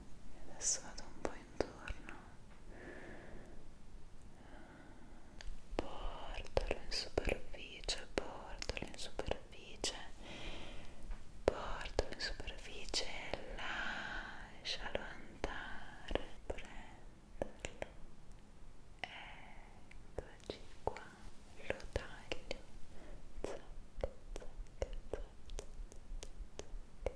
e adesso vado un po' intorno portalo in superficie portalo in superficie portalo in superficie lascialo andare prenderlo eccoci qua lo taglio zac, zac, zac, zac, zac, zac.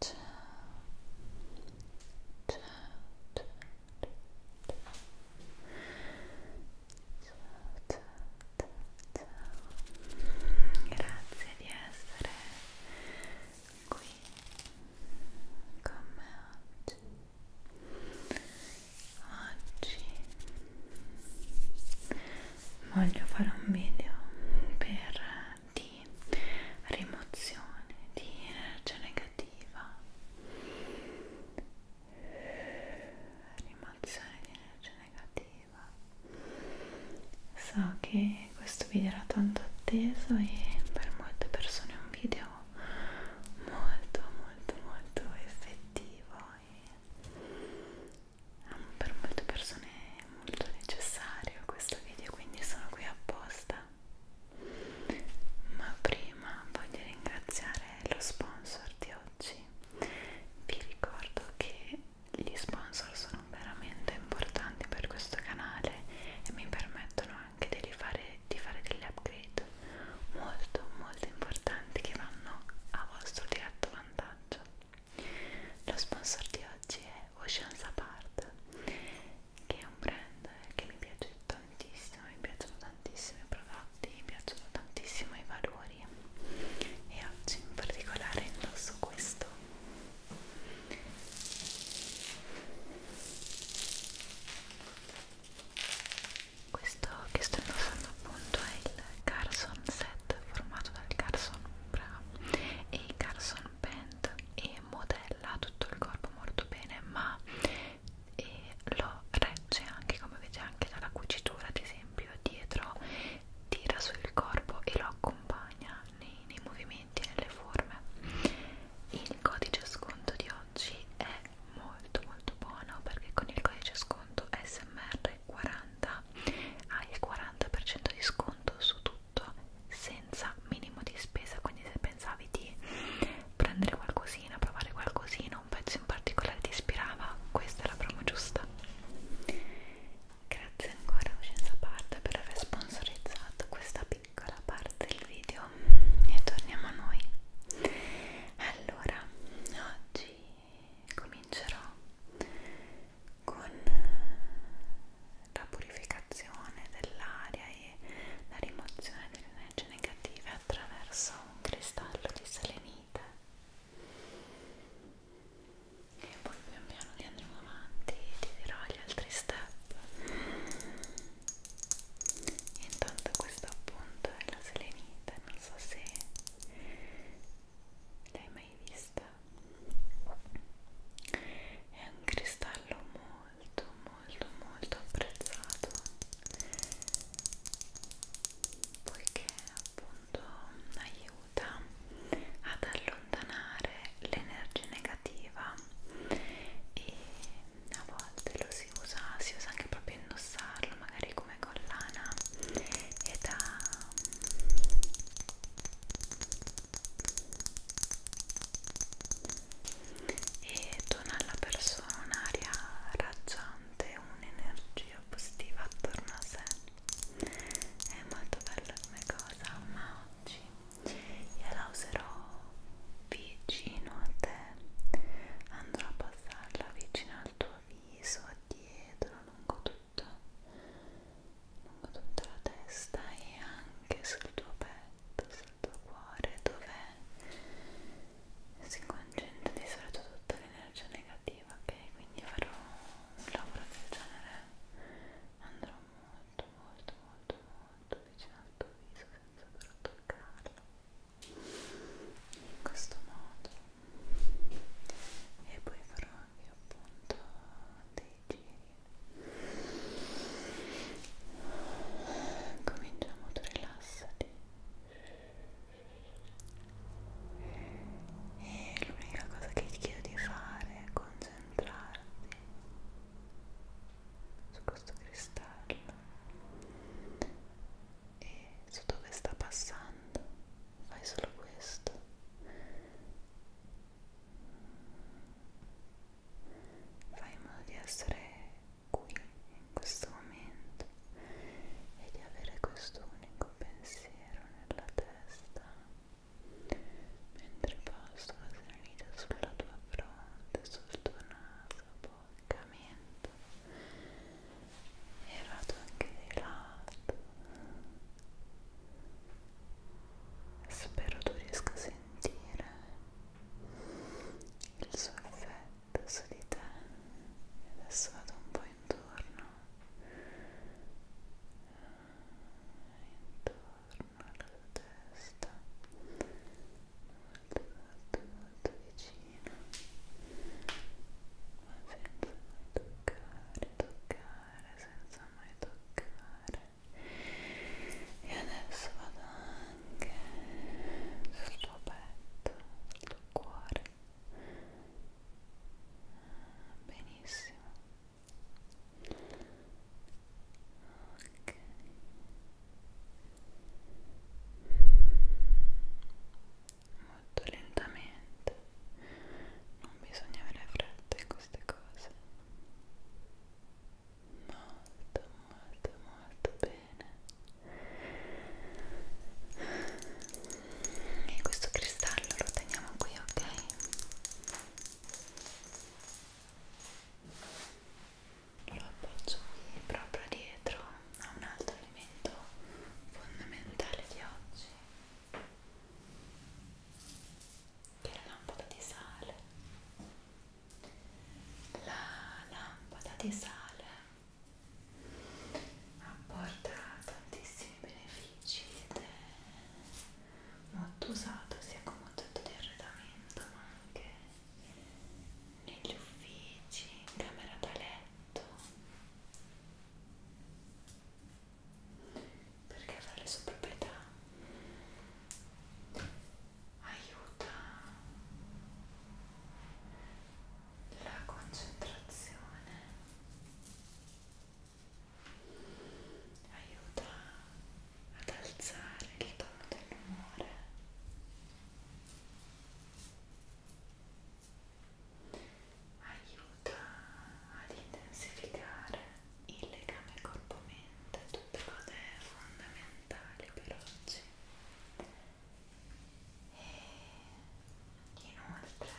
Ciao. Ciao, ciao, ciao, ciao, ciao, ciao, grazie di essere qui con me oggi oggi voglio fare un video per di rimozione di energia negativa rimozione di energia negativa so che questo video era tanto atteso e per molte persone è un video molto molto molto effettivo e um, per molte persone è molto necessario questo video quindi sono qui apposta ma prima voglio ringraziare lo sponsor di oggi vi ricordo che gli sponsor sono veramente importanti per questo canale e mi permettono anche di fare, di fare degli upgrade molto molto importanti che vanno a vostro diretto vantaggio lo sponsor di oggi è Oceans Apart che è un brand che mi piace tantissimo mi piacciono tantissimo i prodotti mi piacciono tantissimo i valori e oggi in particolare indosso questo questo che sto indossando appunto è il Carson set formato dal Carson bra e il Carson pant e modella tutto il corpo molto bene ma e lo regge anche come vedete anche dalla cucitura ad esempio dietro tira sul corpo e lo accompagna nei, nei movimenti e nelle forme il codice sconto di oggi è molto molto buono perché con il codice sconto smr40 hai il 40% di sconto su tutto senza minimo di spesa quindi se pensavi di prendere qualcosina provare qualcosina un pezzo in particolare ti ispirava questa è la promo giusta grazie ancora a Scienza Parte per aver sponsorizzato questa piccola piccola parte del video e torniamo a noi allora oggi comincerò con la purificazione dell'aria e la rimozione delle energie negative attraverso un cristallo di selenite e poi pian piano piano che andremo avanti ti dirò gli altri step e intanto questo appunto è la selenite non so se l'hai mai vista è un cristallo molto molto molto apprezzato poiché appunto aiuta ad allontanare l'energia negativa e a volte lo si usa, si usa anche proprio indossarlo magari come collana ed ha e dona alla persona un'aria raggiante, un'energia positiva attorno a sé. È molto bella come cosa, ma oggi io la userò vicino a te andrò a passarla vicino al tuo viso dietro lungo tutto lungo tutta la testa e anche sul tuo petto sul tuo cuore dove si concentra di solito tutta l'energia negativa ok quindi farò un lavoro del genere andrò molto molto molto molto molto vicino al tuo viso senza però toccarlo in questo modo e poi farò anche appunto dei giri cominciamo tu rilassati e l'unica cosa che ti chiedo di fare è concentrarti su questo cristallo e su dove sta passando fai solo questo fai in modo di essere qui in questo momento e di avere questo unico pensiero nella testa mentre posto la serenità sulla tua fronte, sul tuo naso, bocca, mento e vado anche di lato spero tu riesca a sentire il suo effetto su di te e adesso vado un po' intorno intorno alla sua testa molto molto molto vicino ma senza mai toccare toccare senza mai toccare e adesso vado anche sul tuo petto sul tuo cuore benissimo Ok. Molto lentamente. Non bisogna avere fretta in queste cose. Molto, molto, molto bene. E questo cristallo lo teniamo qui, ok? lo appoggio qui proprio dietro a un altro elemento fondamentale di oggi che è la lampada di sale la lampada di sale apporta tantissimi benefici ed è molto usato sia come oggetto di arredamento ma anche negli uffici, in camera da letto perché avrà le sue proprietà aiuta la concentrazione aiuta ad alzare il tono dell'umore aiuta ad intensificare il legame corpo-mente tutte cose fondamentali per oggi e inoltre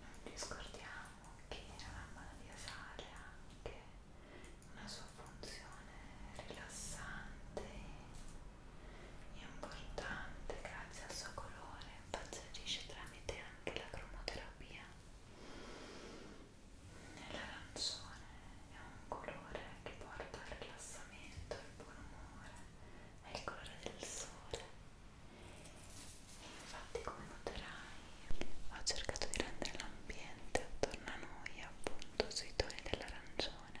non discordiamo che la lampada di sale ha anche una sua funzione rilassante e importante grazie al suo colore, impazzitisce tramite anche la cromoterapia. L'arancione è un colore che porta al rilassamento, al buon umore, è il colore del sole infatti come noterai ho cercato di rendere l'ambiente attorno a noi appunto sui toni dell'arancione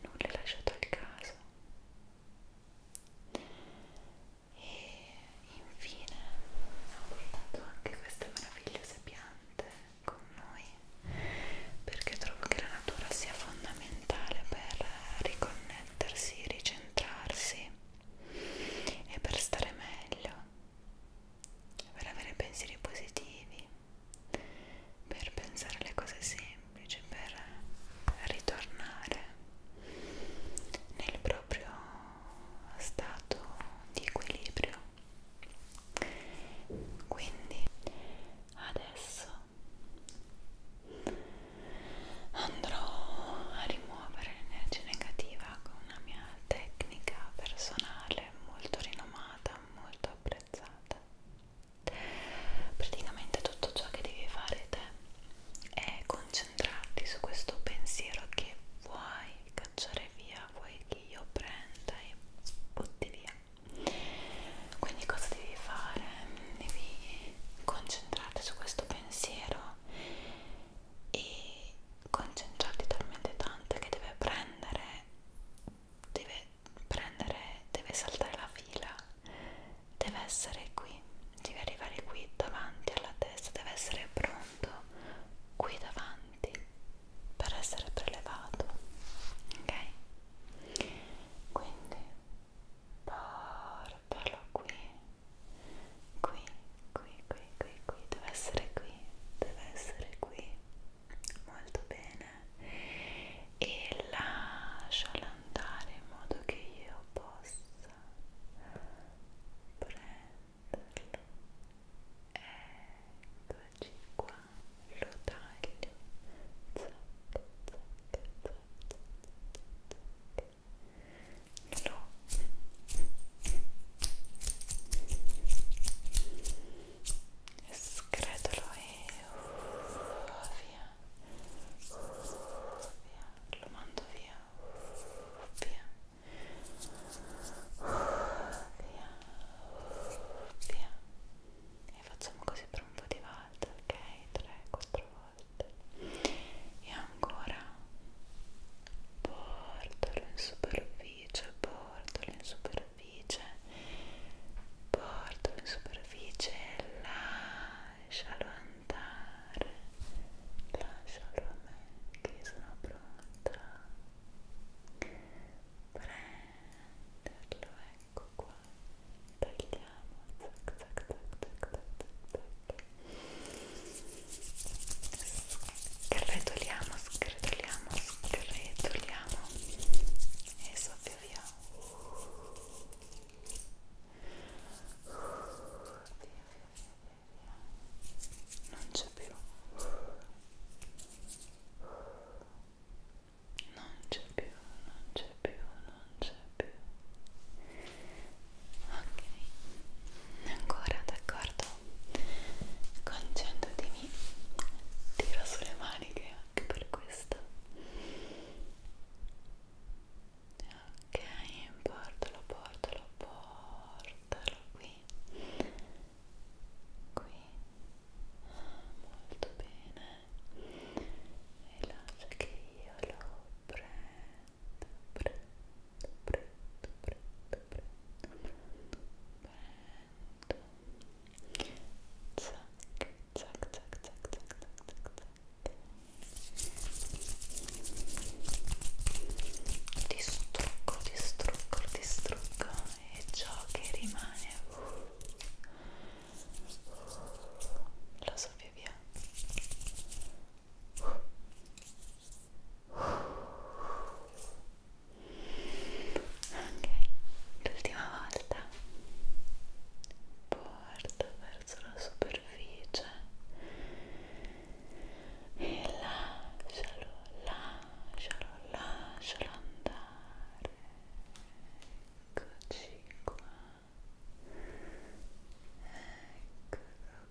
nulla lasciato al caso e infine ho portato anche queste meravigliose piante con noi perché trovo che la natura sia fondamentale per riconnettersi, ricentrarsi è per stare meglio, per avere pensieri positivi, per pensare alle cose semplici, per ritornare nel proprio stato di equilibrio. Quindi adesso andrò a rimuovere l'energia negativa con una mia tecnica personale molto rinomata, molto apprezzata. Praticamente tutto ciò che devi fare te è concentrarti su questo pensiero che vuoi cacciare via, vuoi che io prenda e butti via. Quindi cosa devi fare? Devi concentrarti su questo pensiero e concentrati talmente tanto che deve prendere deve prendere deve saltare la fila deve essere qui deve arrivare qui davanti alla testa deve essere pronto qui davanti per essere prelevato ok quindi portalo qui qui, qui, qui, qui, qui, deve essere qui, deve essere qui, molto bene, e lasciala andare in modo che io possa prenderlo, eccoci qua, lo taglio, zac, zac, zac, zac, zac, zac, lo scretolo e uh, via uh, via lo mando via uh, via uh, via uh, via e facciamo così per un po' di volte ok 3 4 volte volte e ancora portalo in superficie portalo in superficie portalo in superficie e lascialo andare lascialo a me che sono pronta prenderlo ecco qua tagliamo zac zac zac zac zac zac Scretoliamo, scretoliamo, scretoliamo e soffiamo. Non c'è più. Non c'è più, non c'è più, non c'è più ok ancora d'accordo concentratemi tiro sulle maniche anche per questo ok portalo portalo portalo qui qui molto bene e lascia che io lo prenda prendo preto, preto, preto, preto. Zac, zac, zac, zac, zac, zac, zac. Distruggo, distruggo, distruggo e ciò che rimane. Lo so via via Ok, l'ultima volta porto verso la superficie e lascialo, lascialo, lascialo andare. Eccoci qua. Eccolo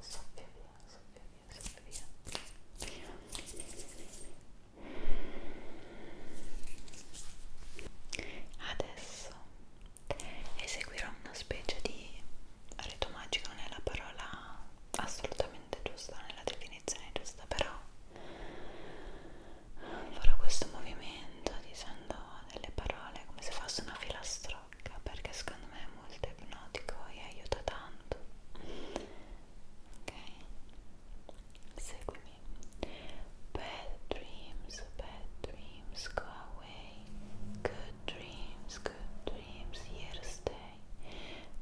soffia via, soffia via, soffia via adesso eseguirò una specie di rito magico non è la parola assolutamente giusta non è la definizione giusta però farò questo movimento dicendo delle parole come se fosse una filastrocca bocca perché secondo me è molto ipnotico e aiuta tanto ok seguimi bad dreams bad dreams go away good dreams good dreams here stay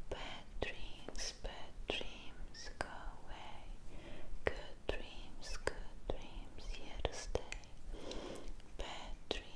bad dreams bad dreams go away good dreams good dreams here stay bad dreams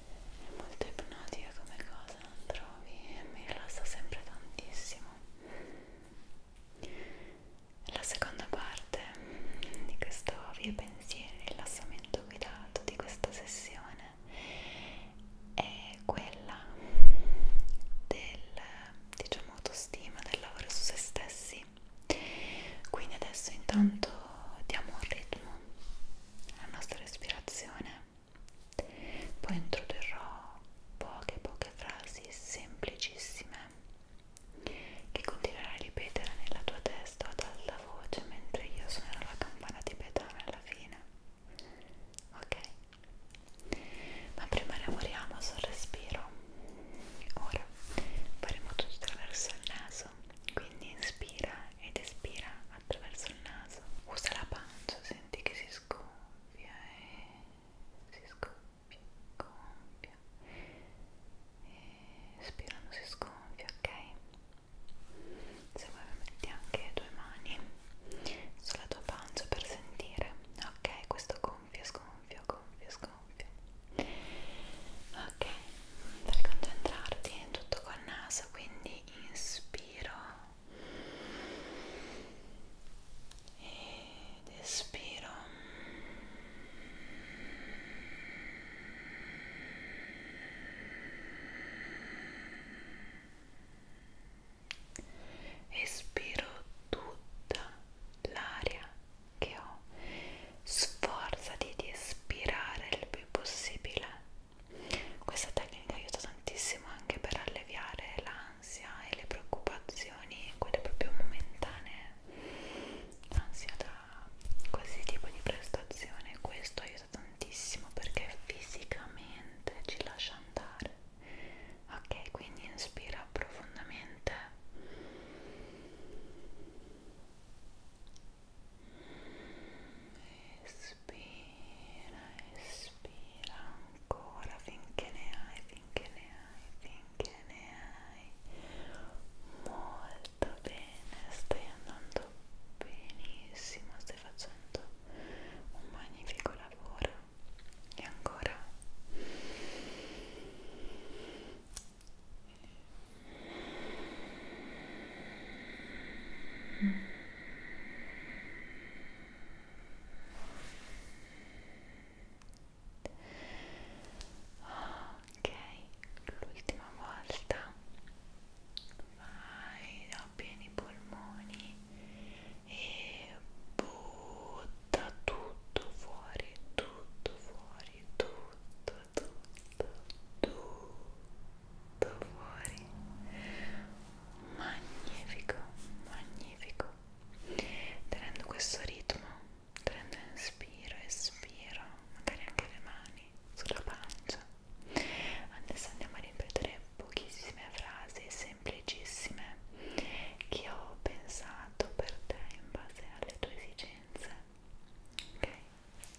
è molto ipnotica come cosa non trovi e mi rilassa sempre tantissimo la seconda parte di questo via pensieri rilassamento guidato di questa sessione è quella del diciamo autostima del lavoro su se stessi quindi adesso intanto diamo un ritmo alla nostra respirazione poi introdurrò poche poche frasi semplicissime che continuerai a ripetere nella tua testa ad alta voce mentre io suonerò la campana tibetana alla fine. Ok? Ma prima lavoriamo sul respiro. Ora faremo tutto attraverso il naso, quindi inspira ed espira attraverso il naso usa la pancia senti che si sgonfia e si sgonfia gonfia e spirando si sgonfia ok se vuoi metti anche le tue mani sulla tua pancia per sentire ok questo gonfia sgonfia gonfia sgonfia ok per concentrarti tutto col naso quindi inspiro ed espiro espiro tutta l'aria che ho sforzati di espirare il più possibile questa tecnica aiuta tantissimo anche per alleviare l'ansia e le preoccupazioni, quelle proprio momentanee, l'ansia da qualsiasi tipo di prestazione. Questo aiuta tantissimo perché fisicamente ci lascia andare. Ok, quindi inspira profondamente Espira, espira ancora finché ne hai, finché ne hai, finché ne hai. Molto bene, stai andando benissimo, stai facendo un magnifico lavoro. E ancora. Molto Ok, l'ultima volta. Vai, appieni i polmoni e butta tutto fuori, tutto fuori, tutto, tutto, tutto fuori magnifico magnifico tenendo questo ritmo tenendo inspiro espiro magari anche le mani sulla pancia adesso andiamo a ripetere pochissime frasi semplicissime che ho pensato per te in base alle tue esigenze ok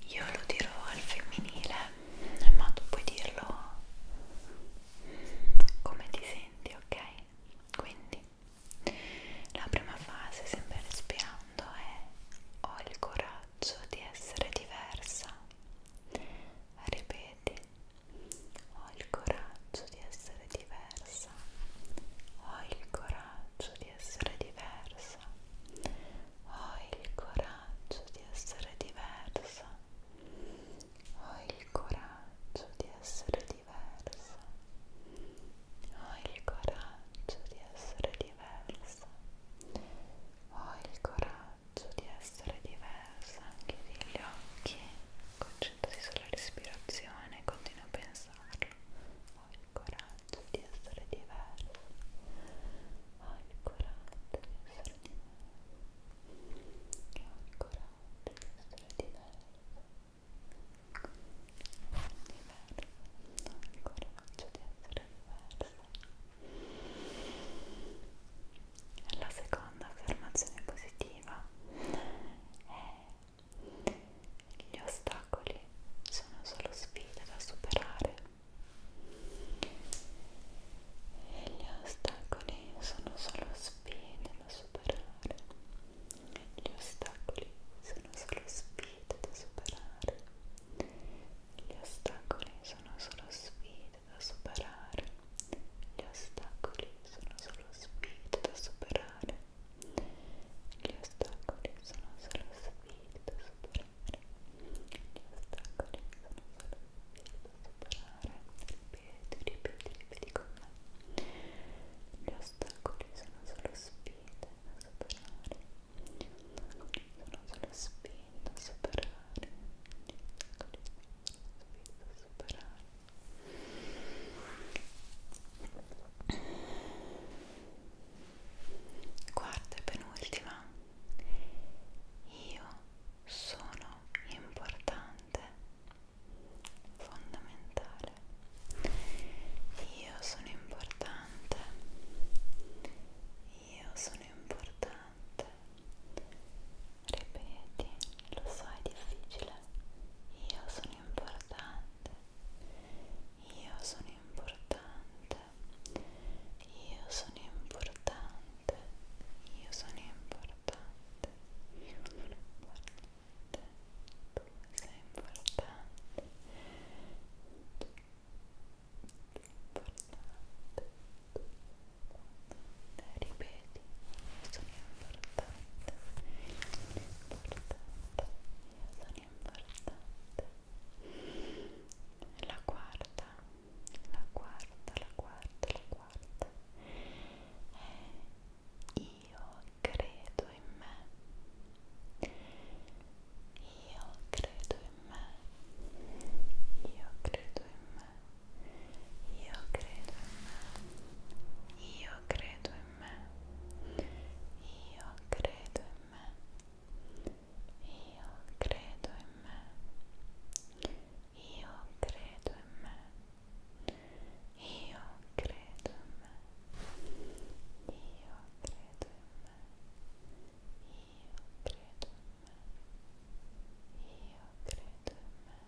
io lo dirò al femminile ma tu puoi dirlo come ti senti ok quindi la prima fase sempre respirando è ho il coraggio di essere diversa ripeti ho il coraggio di essere diversa ho il coraggio di essere diversa ho il coraggio di essere diversa, ho il coraggio di essere diversa, ho il coraggio di essere diversa, ho il coraggio di essere diversa, chiudi gli occhi, concentrati sulla respirazione, continua a pensarlo, ho il coraggio di essere diversa, ho il coraggio di essere che ho il coraggio di essere diverso diverso, ho il coraggio di essere diverso la seconda affermazione positiva è gli ostacoli sono solo sfide da superare e gli ostacoli sono solo spine da superare gli ostacoli sono solo sfide da superare gli ostacoli sono solo sfide da superare gli ostacoli sono solo sfide da superare gli ostacoli sono solo sfide da superare superare gli ostacoli sono solo sfide da superare ripeti, ripeti, ripeti con me gli ostacoli sono solo sfide da superare gli ostacoli sono solo sfide da superare gli ostacoli sono solo sfide da superare quarta e penultima io sono importante, fondamentale. Io sono importante. Io sono importante. Ripeti, lo so è difficile. Io sono importante. Io sono importante io sono importante, io sono importante, io sono importante, tu sei importante, tu sei importante, tu ripeti, io sono importante, io sono importante, io sono importante la quarta la quarta, la quarta, la quarta. Eh, io credo in me. Io credo in me. Io credo in me. Io credo in me. Io credo in me. Io credo in me. Io credo in me. Io credo in me. Io credo in me. Io credo in me. Io credo in me. Io credo in me. Io credo in me.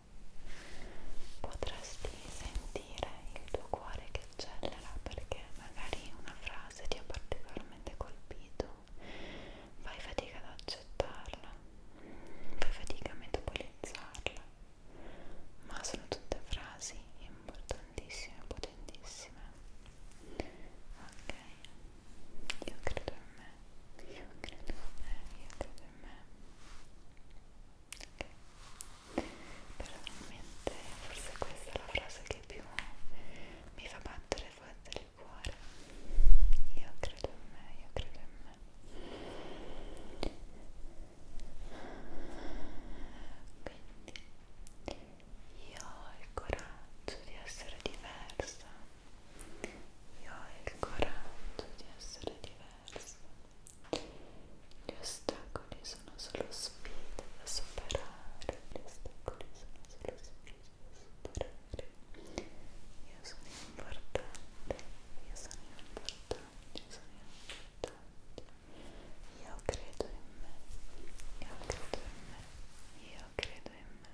Potresti sentire il tuo cuore che accelera perché magari una frase ti ha particolarmente colpito fai fatica ad accettarla, fai fatica a metabolizzarla, ma sono tutte frasi importantissime, potentissime. Ok, io credo in me, io credo in me, io credo in me. Ok, personalmente forse questa è la frase che più mi fa battere forte il cuore io credo in me io credo in me quindi io ho il coraggio di essere diversa io ho il coraggio di essere diversa gli ostacoli sono solo sfide da superare gli ostacoli sono solo sfide sparare io sono importante io sono importante io sono importante io credo in me io credo in me io credo in me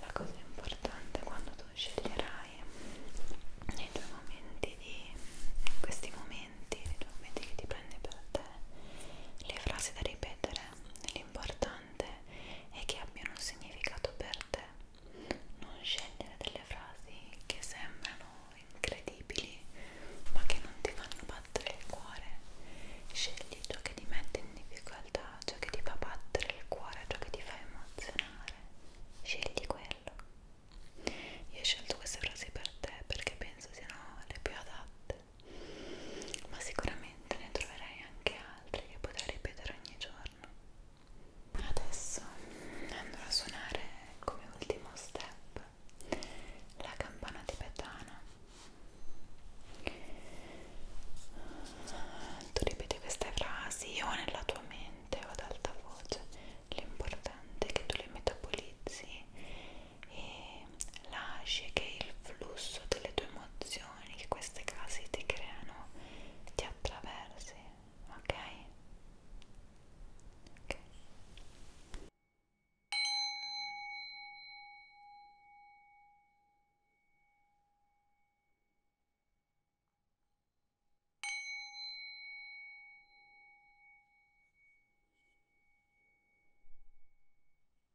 la cosa importante quando tu sceglierai nei tuoi momenti di in questi momenti nei tuoi momenti che ti prendi per te le frasi da ripetere credere, l'importante è che abbiano un significato per te. Non scegliere delle frasi che sembrano incredibili ma che non ti fanno battere il cuore. Scegli ciò che ti mette in difficoltà, ciò che ti fa battere il cuore, ciò che ti fa emozionare. Scegli quello. Io ho scelto queste frasi per te perché penso siano le più adatte ma sicuramente ne troverai anche altri che potrai ripetere ogni giorno adesso andrò a suonare come ultimo step la campana tibetana tu ripeti queste frasi o nella tua mente o ad alta voce l'importante è che tu le metabolizzi e lasci che il flusso delle tue emozioni che queste casi ti creano ti attraversi, ok? Ok.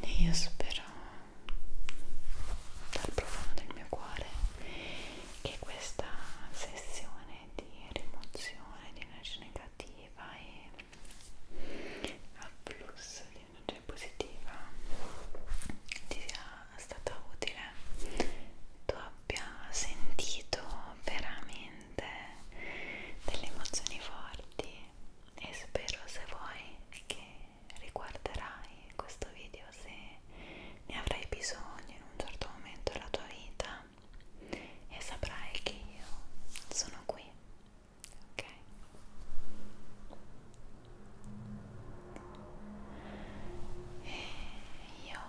e io spero dal profondo del mio cuore che questa sessione di rimozione di energia negativa e afflusso di energia positiva ti sia stata utile tu abbia sentito veramente delle emozioni forti e spero se vuoi che riguarderai questo video se ne avrai bisogno in un certo momento della tua vita e saprai che io sono qui ok e io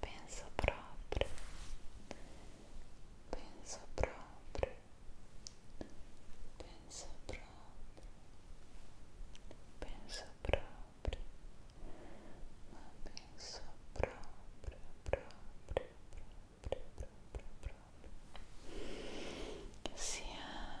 penso proprio, penso proprio, penso proprio, penso proprio, ma penso proprio, proprio, proprio, proprio, proprio, proprio. Sia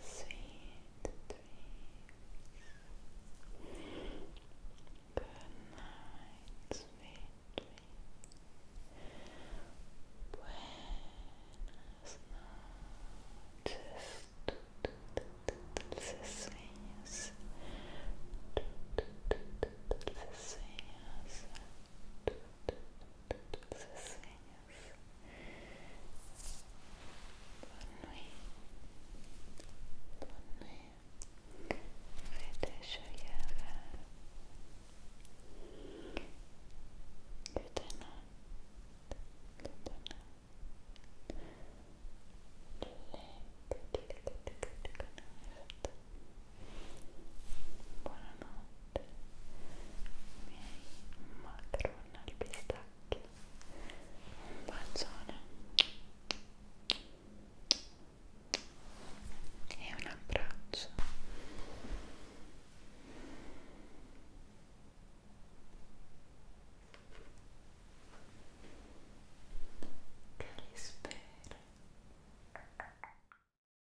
Sweet dreams. Good night, sweet dreams. Buenas noches. Dulces sueños. Dulces sueños. ses sueños. Bonne nuit. Bonne nuit. Faites le buonanotte i miei macaron al pistacchio un bacione e un abbraccio che li spero